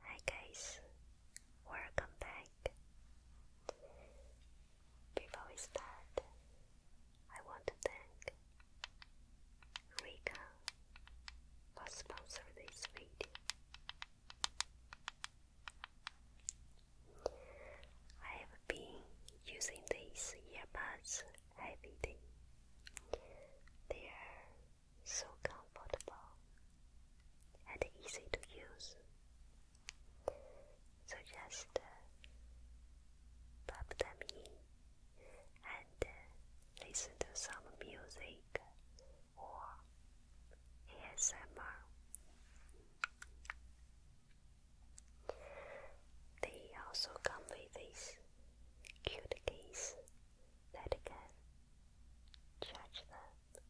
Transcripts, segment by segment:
Hi guys, welcome back. Before we start, I want to thank Rika for sponsoring this video. I have been using these earbuds every day. They are so comfortable and easy to use. So just uh, pop them in and uh, listen to some music or ASMR. They also come with this cute case that can Judge them.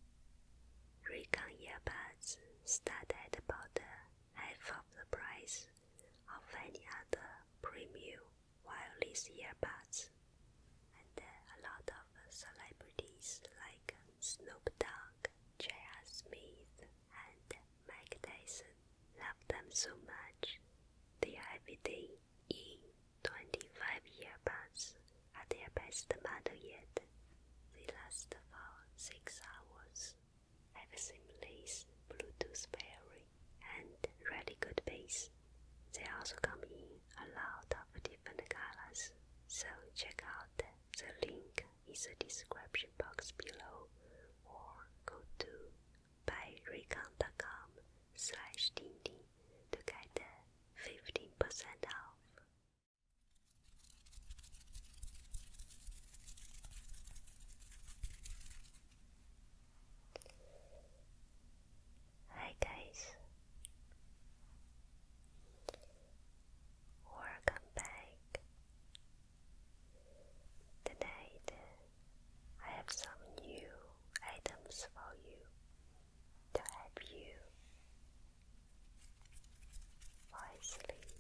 Recon earbuds start at about half of the price of any other premium wireless earbuds, and a lot of celebrities like Snoop Dogg, J.R. Smith, and Mike Tyson love them so much they have everything in 25 year bats are their best model yet. They last for 6 hours, have seamless Bluetooth pairing, and really good bass. They also come in a lot of different colors, so check out the link in the description box below or go to buyraycon.com slash dindin to get the 15% off. Hi guys. Welcome back. Tonight I have some new items for you to help you fall asleep.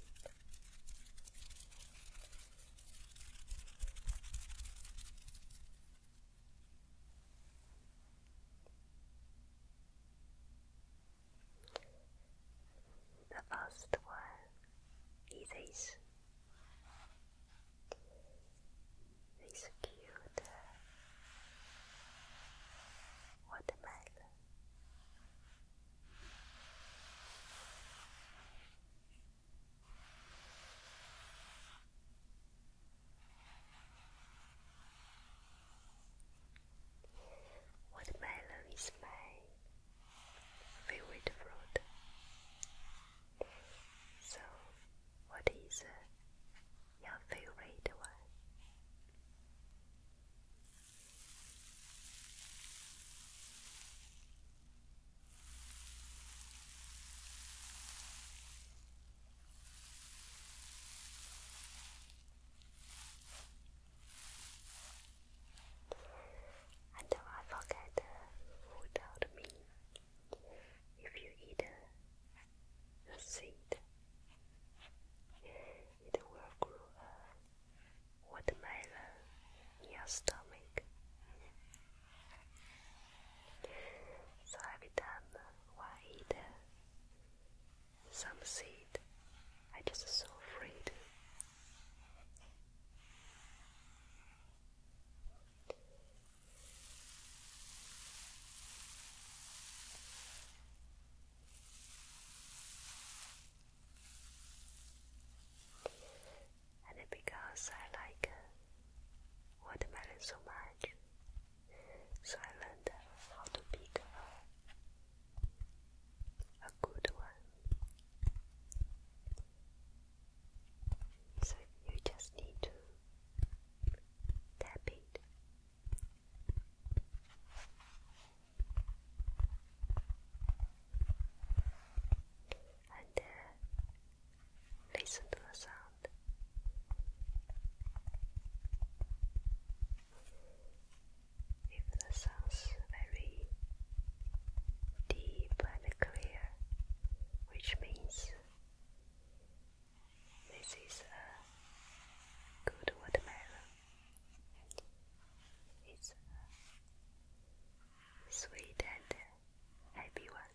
The first one is this cute watermelon. Watermelon is my favorite fruit, so what is uh, your favorite one? And don't I forget uh, without me. If you eat uh, the seed. It will grow a uh, watermelon in your stomach. So every time I eat uh, some seed, I just so afraid. And because I like uh, watermelon so much, so I learned uh, how to pick a, good one. So you just need to Tap it. And uh, listen to the sound. If the sounds very deep and clear, which means this is a good watermelon. It's a sweet and happy one.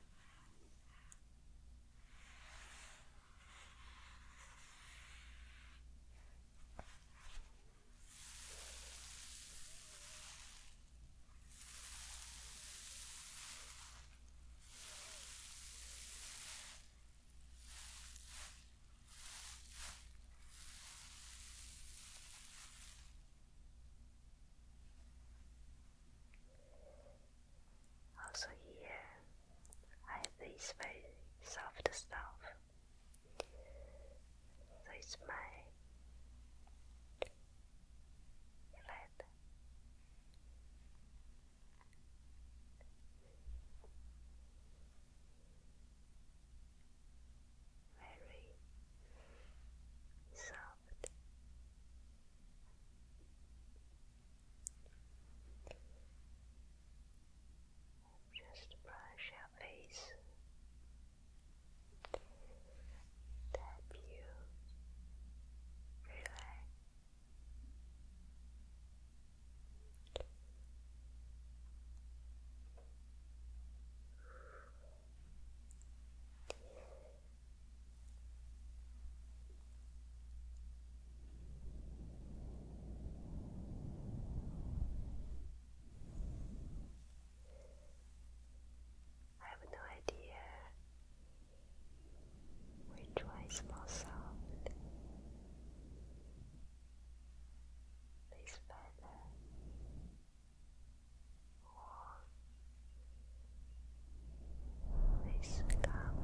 Also here I have this very soft stuff. So my flat very soft. Just brush your face that you Relax. I have no idea which one is more soft. This feather or this gown.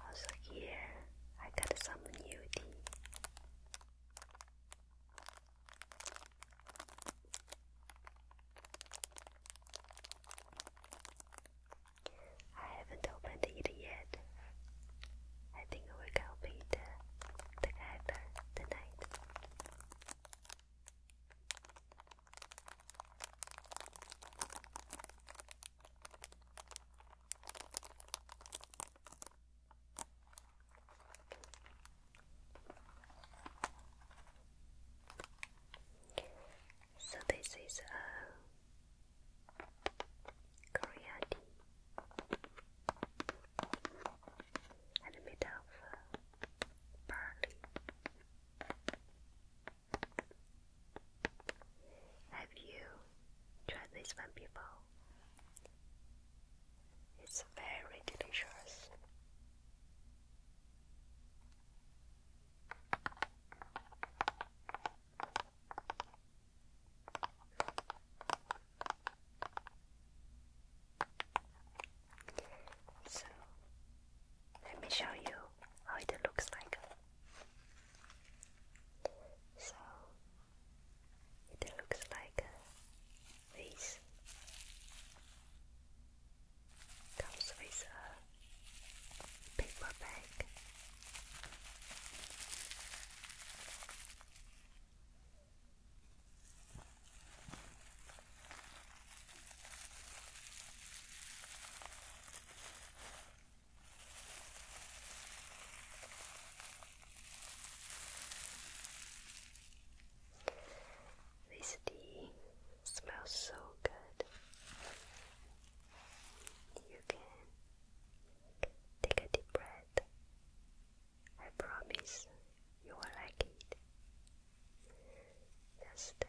Also here I got some new tea. I haven't opened it yet. I think we can open it together tonight. So this is uh, a Korea tea and made of uh, barley. Have you tried this one before? It's very delicious. So let me show you how it looks like. So it looks like a Comes with a paper bag. This tea smells so good. You can take a deep breath. I promise you will like it. Just uh,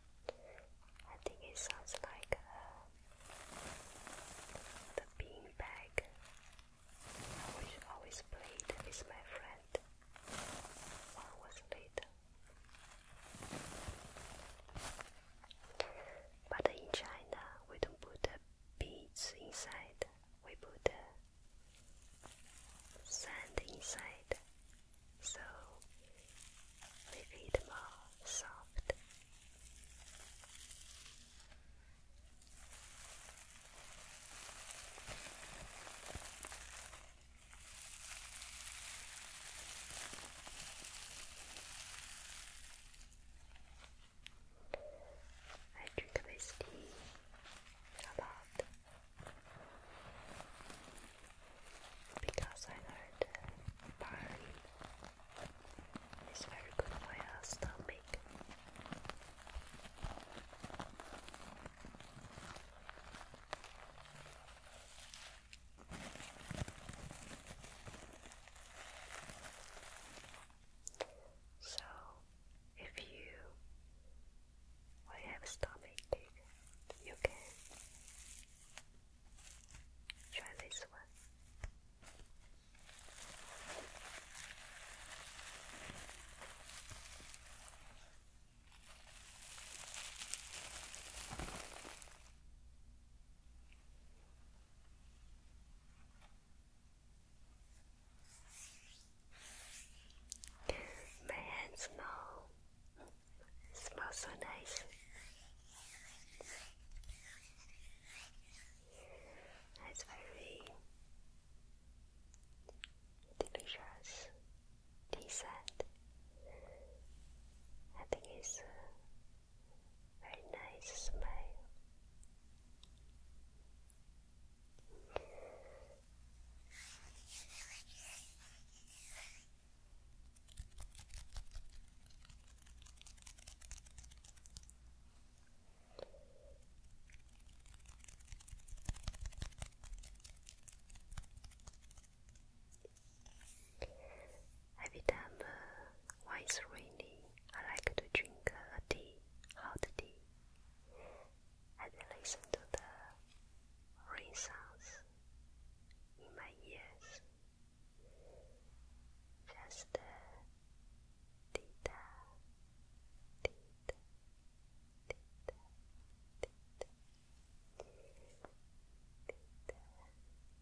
I think it sounds like uh, the bean bag, always played with my friend. One was late. But in China, we don't put beads inside. We put sand inside so my feet more soft. I drink this tea a lot because I heard barley is very good for your stomach. So, if you I have a stomachache, you can try this one. My hands now smells so nice. It's very delicious tea I think it's very nice smell. Every time uh, when it's raining, I like to drink uh, a tea, hot tea, and listen to the rain sounds in my ears. Just uh, theta, theta, theta, theta, theta, theta,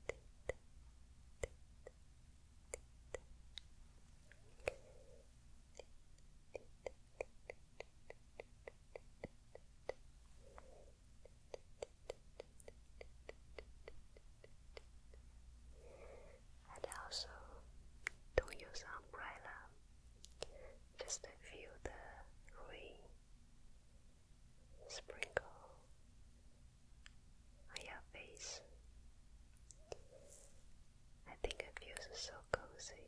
theta, theta. Theta, theta, theta, and also, don't use umbrella. Just feel the rain sprinkle on your face. I think it feels so cozy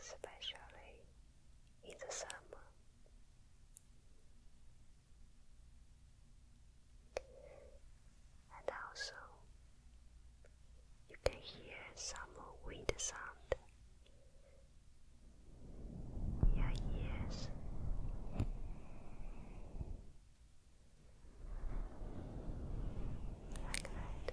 especially in the summer. And also you can hear some wind sound in your ears. Like that.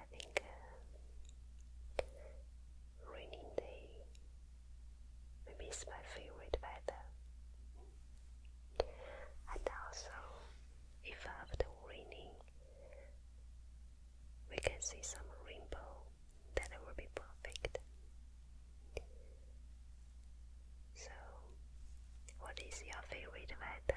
I think uh, rainy day maybe it's my favorite weather. And also, if after raining, we can see some rainbow, that will be perfect. So, what is your favorite weather?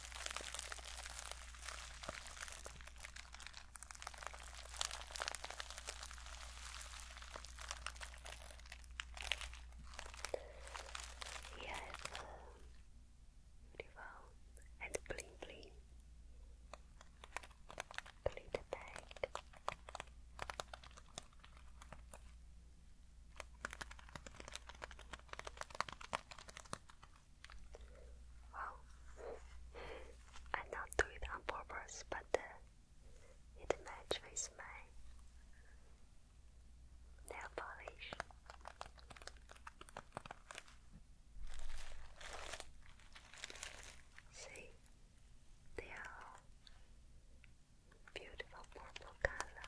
Yeah, you uh, beautiful bling bling. Glitter bag. Well, I not do it on purpose, but uh, it with my nail polish. See, they are beautiful purple color.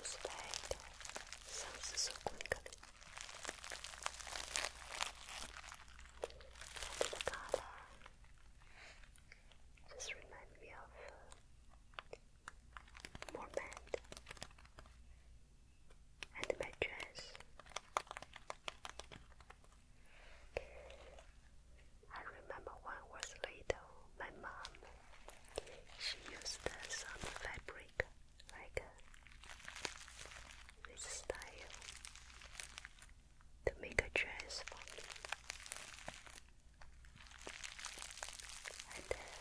Respect sounds so quickly. And the color just reminds me of uh, more band and my dress. I remember when I was little, my mom she used uh, some fabric like uh, this style to make a dress for me. And uh,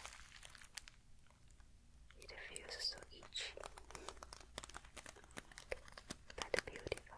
it feels so itchy, but beautiful.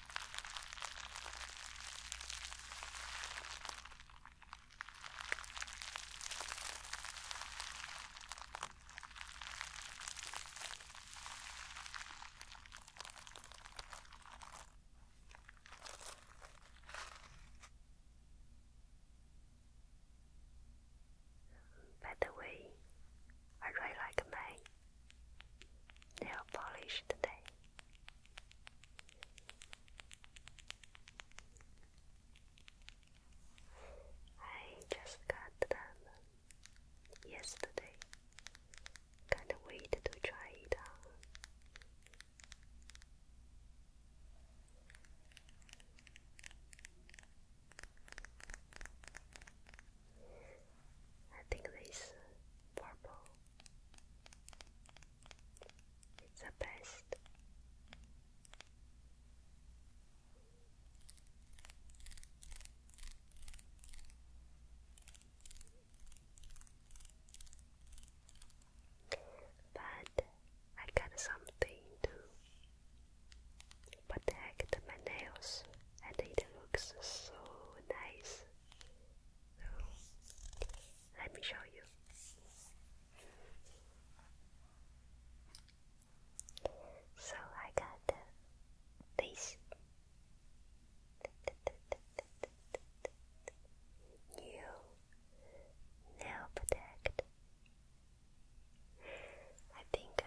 By the way, I really like my nail polish today. I just got them yesterday. Can't wait to try it on. I think this purple it's the best. But I got something to protect my nails, and it looks so nice let me show you. So I got this new nail protect. I think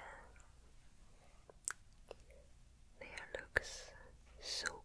uh, nail looks so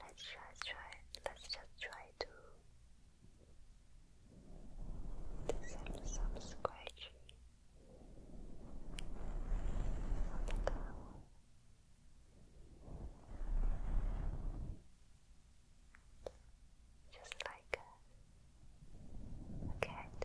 Let's just try. Let's just try to do some, some Just like a cat.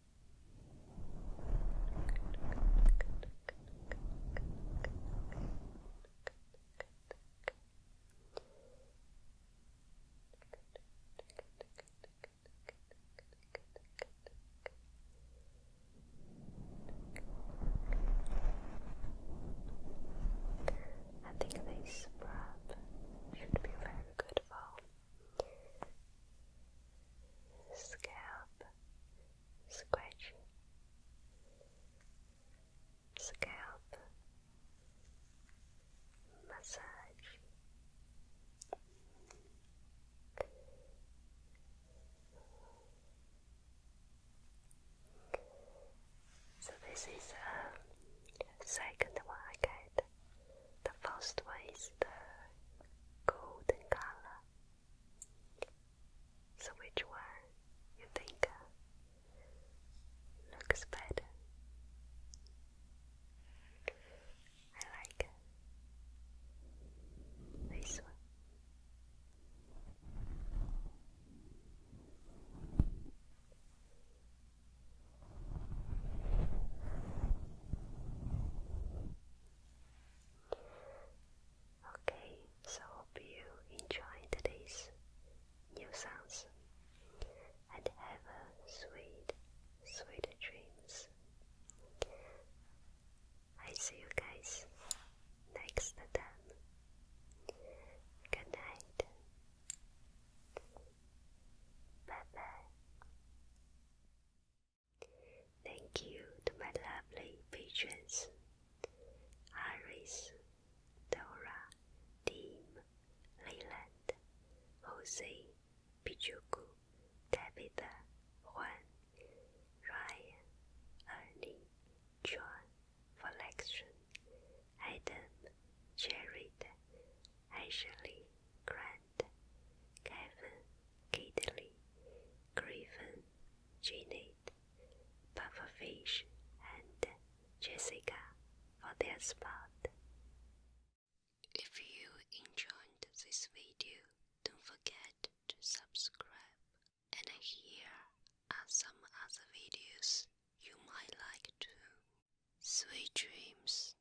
I think this scrub should be very good for scalp, scratching, scalp, massage. So this is a uh, second one the first one is the golden color. So which one you think uh, looks better? I like uh, this one. Okay, so hope you enjoyed today's new sounds and have a sweet, sweet dreams. I see you guys next time. Good night. Bye bye. Thank you to my lovely patrons Iris, Dora, Tim, Leyland, Jose, Pichuku, Tabitha, Juan, Ryan, Ernie, John, Valexion, Adam, Jared, Ashley, Grant. Kevin, Kidley, Griffin, Janet, Fish, and Jessica for their spot. If you enjoyed this video, don't forget to subscribe. And here are some other videos you might like too. Sweet dreams.